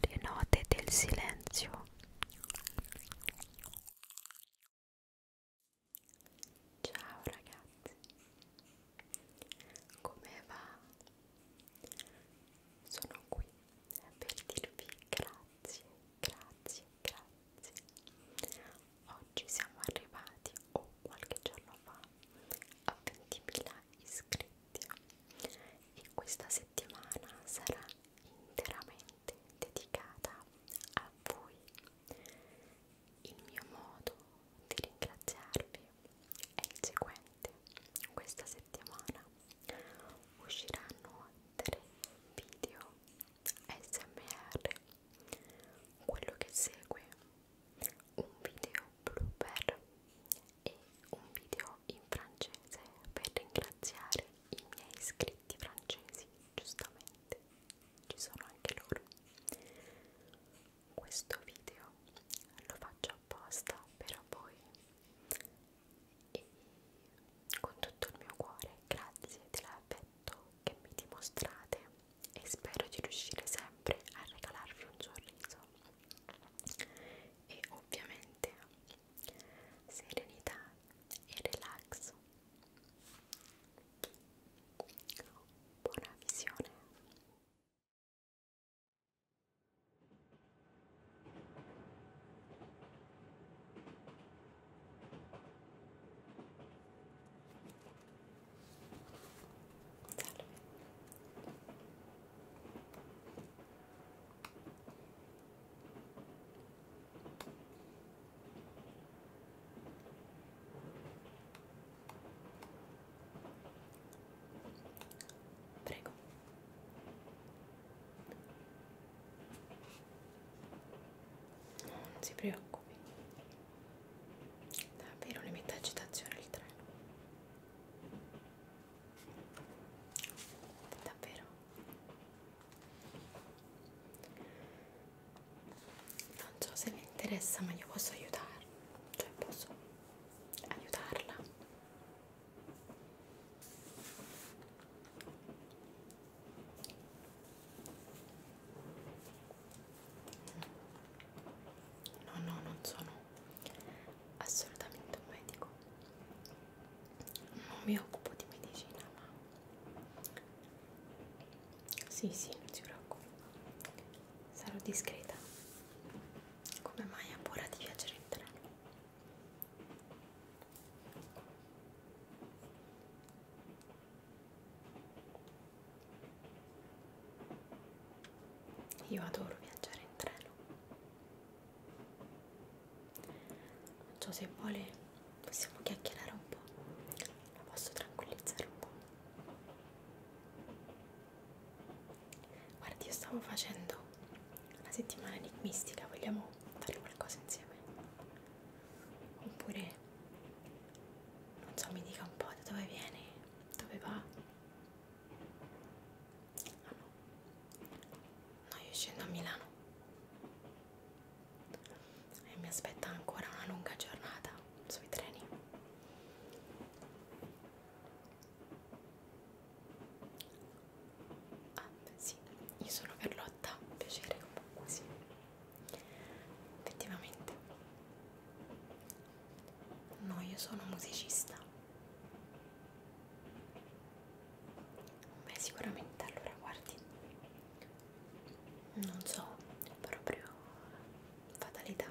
le note del silenzio ciao ragazzi come va sono qui per dirvi grazie grazie grazie oggi siamo arrivati o oh, qualche giorno fa a 20.000 iscritti e questa settimana sarà interamente dedicata a voi. Il mio modo di ringraziarvi è il seguente. Questa settimana usciranno tre video SMR. Quello che segue un video blooper e un video in francese per ringraziare i miei iscritti francesi, giustamente ci sono anche loro. Questo video lo faccio apposta per voi e con tutto il mio cuore grazie dell'affetto che mi dimostrate e spero di riuscire sempre a regalarvi un sorriso e ovviamente serenità e relax buona visione Salve. Prego. Non si preoccupi. Davvero ne mette agitazione il treno. Davvero. Non so se le interessa, ma io posso aiutarla. Cioè posso aiutarla no no non sono assolutamente un medico non mi occupo di medicina ma sì sì non si preoccupi sarò discreta come mai ha paura di viaggiare in treno io adoro viaggiare in treno. Non so se vuole, possiamo chiacchierare un po'. La posso tranquillizzare un po'. Guardi, io stavo facendo una settimana enigmistica, vogliamo fare qualcosa insieme? Oppure, non so, mi dica un po' da dove viene dove va? Ah no. No, io scendo a Milano. E mi aspetta ancora una lunga giornata sui treni. Ah, sì, io sono Carlotta, piacere comunque, sì. Effettivamente No, io sono musicista. Beh, sicuramente allora guardi. Non so, proprio fatalità.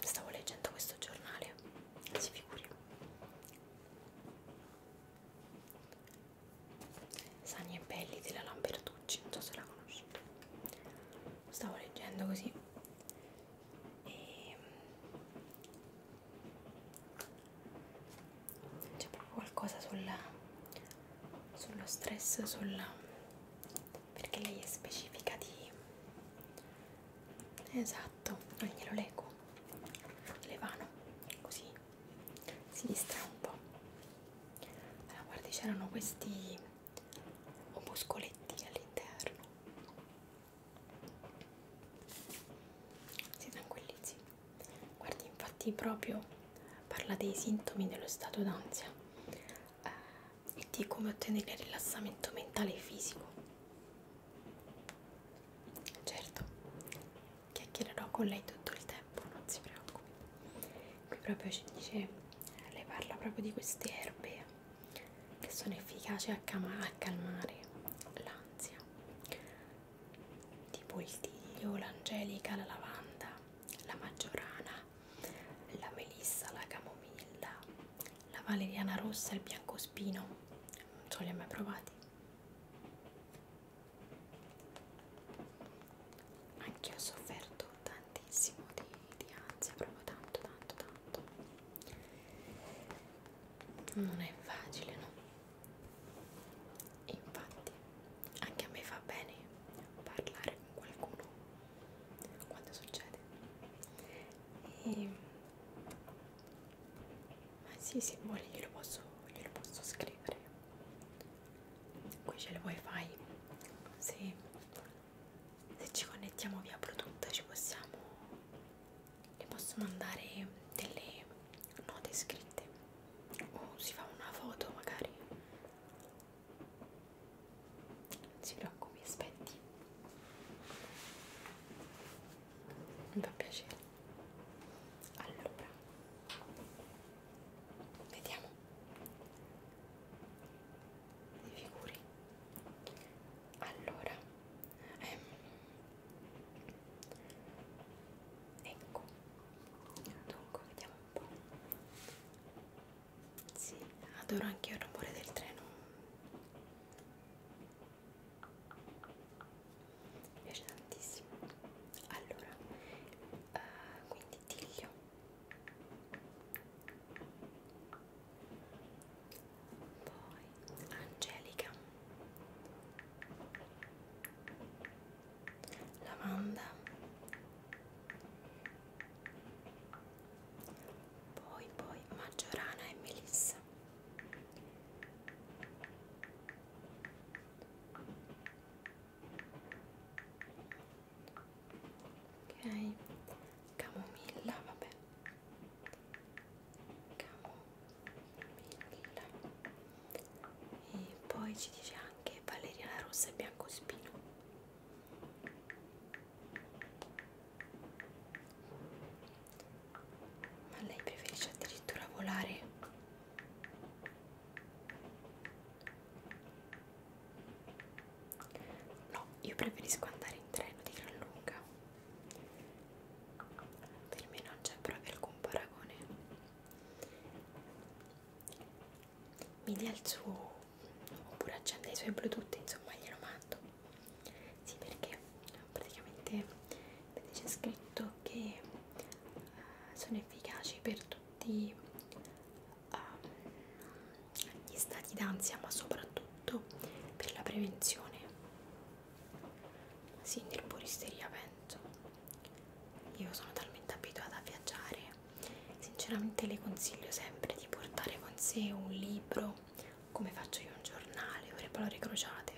Stavo leggendo questo giornale, si figuri. Sani e belli della Lambertucci, non so se la conosci stavo leggendo così e mm, c'è proprio qualcosa sulla, sullo stress sulla, perché lei è specifica di esatto non glielo leggo levano così si distrae un po' allora guardi c'erano questi o muscoletti all'interno si tranquillizzi guardi infatti proprio parla dei sintomi dello stato d'ansia eh, e di come ottenere rilassamento mentale e fisico certo chiacchiererò con lei tutto il tempo tempo, non si preoccupi. Qui proprio ci dice, lei parla proprio di queste erbe che sono efficaci a, a calmare l'ansia, tipo il tiglio, l'angelica, la lavanda, la maggiorana, la melissa, la camomilla, la valeriana rossa, il biancospino, non so li ho mai provati. Anch'io ho sofferto tanti tantissimo di, di ansia, proprio tanto, tanto, tanto. Non è facile, no? Infatti, anche a me fa bene parlare con qualcuno quando succede. E... Ehm, ma sì, se vuole glielo posso, glielo posso scrivere qui c'è il wifi se, se ci connettiamo via prodotto ci possiamo le posso mandare delle note scritte o si fa una foto magari non si preoccupi aspetti mi fa piacere allora Vediamo. Mi figuri. Allora. Ehm. Ecco. Dunque, vediamo un po'. Sì, adoro anche io il rumore del treno. Mi piace tantissimo. Allora, uh, quindi Tiglio poi Angelica Lavanda poi poi Maggiorana e Melissa poi ok camomilla vabbè camomilla e poi ci dice anche valeriana rossa e biancospino ma lei preferisce addirittura volare No, io preferisco andare in treno di gran lunga. Per me non c'è proprio alcun paragone. Mi dia il suo oppure accende i suoi bluetooth, insomma glielo mando. Sì, perché praticamente c'è scritto che eh, sono efficaci per tutti um, gli stati d'ansia ma soprattutto per la prevenzione sì nel puristeria penso io sono talmente abituata a viaggiare sinceramente le consiglio sempre di portare con sé un libro come faccio io un giornale o le parole crociate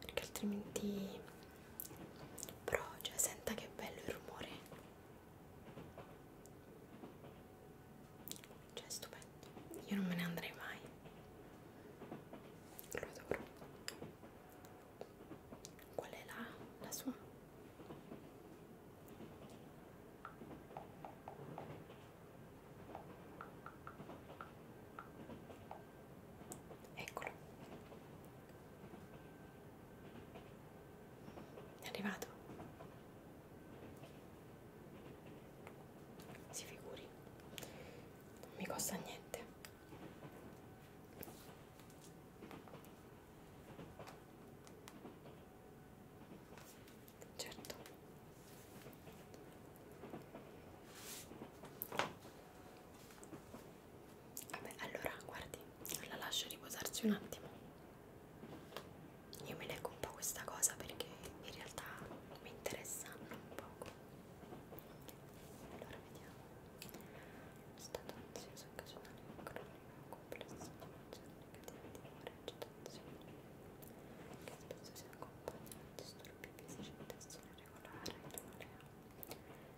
perché altrimenti però, cioè, senta che bello il rumore. Cioè, è stupendo. Io non me ne andrei mai. Lo adoro. Qual è la, la sua? eccolo è arrivato si figuri non mi costa niente certo Vabbè, allora guardi, la lascio riposarsi un attimo. Io mi leggo un po' questa cosa perché in realtà mi interessa un poco. Allora vediamo. Stato ansioso occasionale cronico complesso di emozioni negative di umore agitazione che spesso si accompagna a disturbi fisici di tensione regolare e irregolare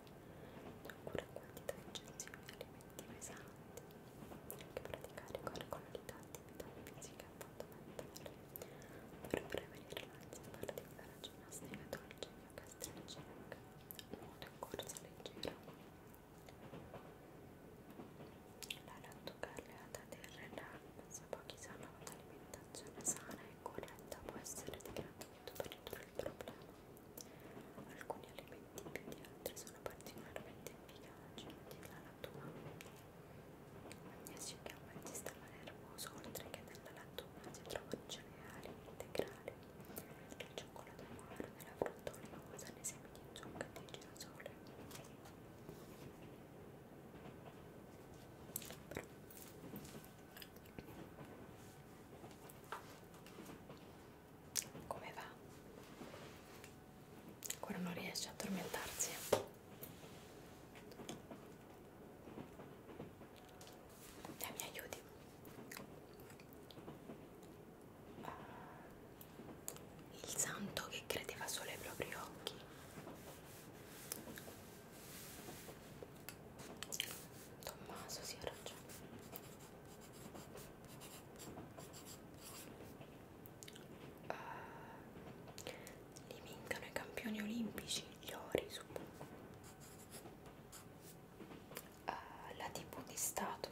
oppure quantità eccessive di alimenti pesanti che praticare con regolarità attività fisica e appunto mentale per prevenire l'ansia particolare ginnastica dolcifica gastrica nuoto e corsa leggera la lattocarriata del relax pochi sanno che l'alimentazione sana e corretta può essere di gratuito per ridurre il problema Alcuni elementi più di altri sono particolarmente efficaci nella natura. Il magnesio chiama il sistema nervoso, oltre che nella lattuga si trovano cereali integrali, nel cioccolato amaro, nella frutta oleosa, nei semi di zucca e di girasole. Però, come va? Ancora non riesce a addormentarsi. Dai, eh, mi aiuti. Ah, il santo che credeva solo ai propri occhi. Tommaso si sì, ha ragione. Uh, li vincano i campioni olimpici, gli ori, suppongo. Uh, eh, la tv di Stato.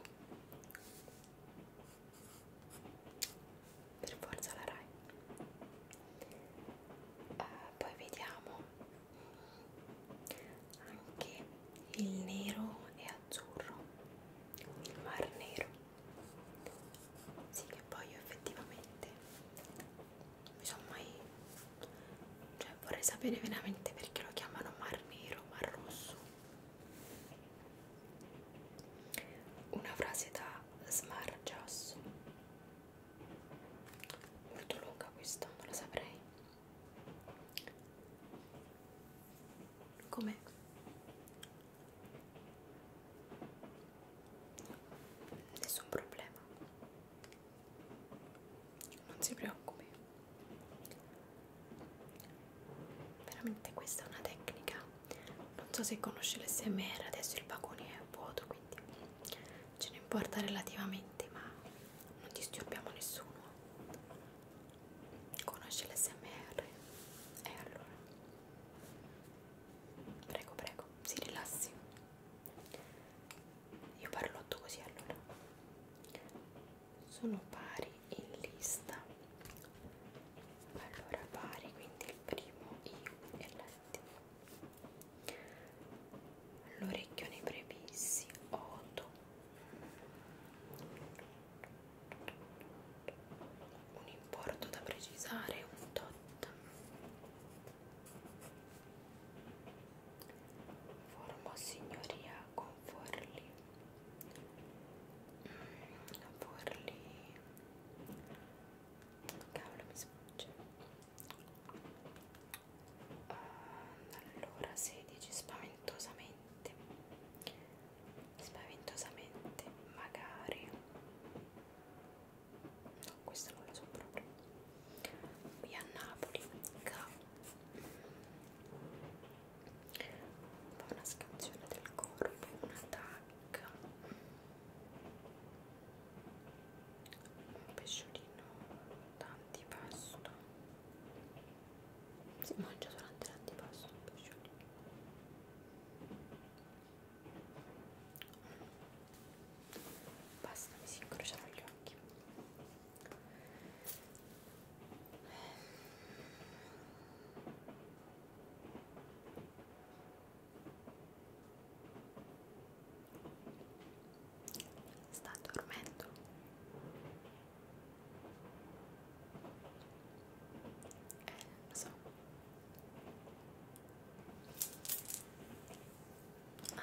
Per forza la Rai. Uh, poi vediamo anche il nero e azzurro il mar nero sì che poi io effettivamente mi sono mai cioè vorrei sapere veramente perché lo chiamano mar nero mar rosso una frase da smargiasso molto lunga questa non la saprei Com'è? Nessun problema. Non si preoccupi. Veramente questa è una tecnica. Non so se conosce l'SMR, adesso il vagone è vuoto, quindi ce ne importa relativamente, ma non disturbiamo nessuno conosce l'SMR e eh, allora prego prego si rilassi io parlotto così allora sono pari in lista allora pari quindi il primo I e l'T l'orecchione brevissi, 8 un importo da precisare, un tot formò signoria con forli mm, forli cavolo mi sfugge allora 16 spaventosamente spaventosamente magari no questo non lo so proprio qui a Napoli ca una scansione del corpo una tacca un pesciolino l'antipasto si mangia durante l'antipasto basta mi si incrociano gli occhi sta dormendo eh, lo so ah. Ecco.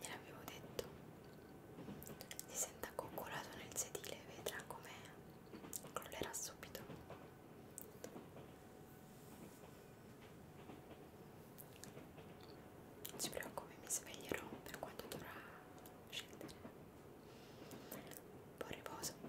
Gliel'avevo detto. Si senta coccolato nel sedile e vedrà come crollerà subito. Non si preoccupi, mi sveglierò per quanto dovrà scegliere. Buon riposo.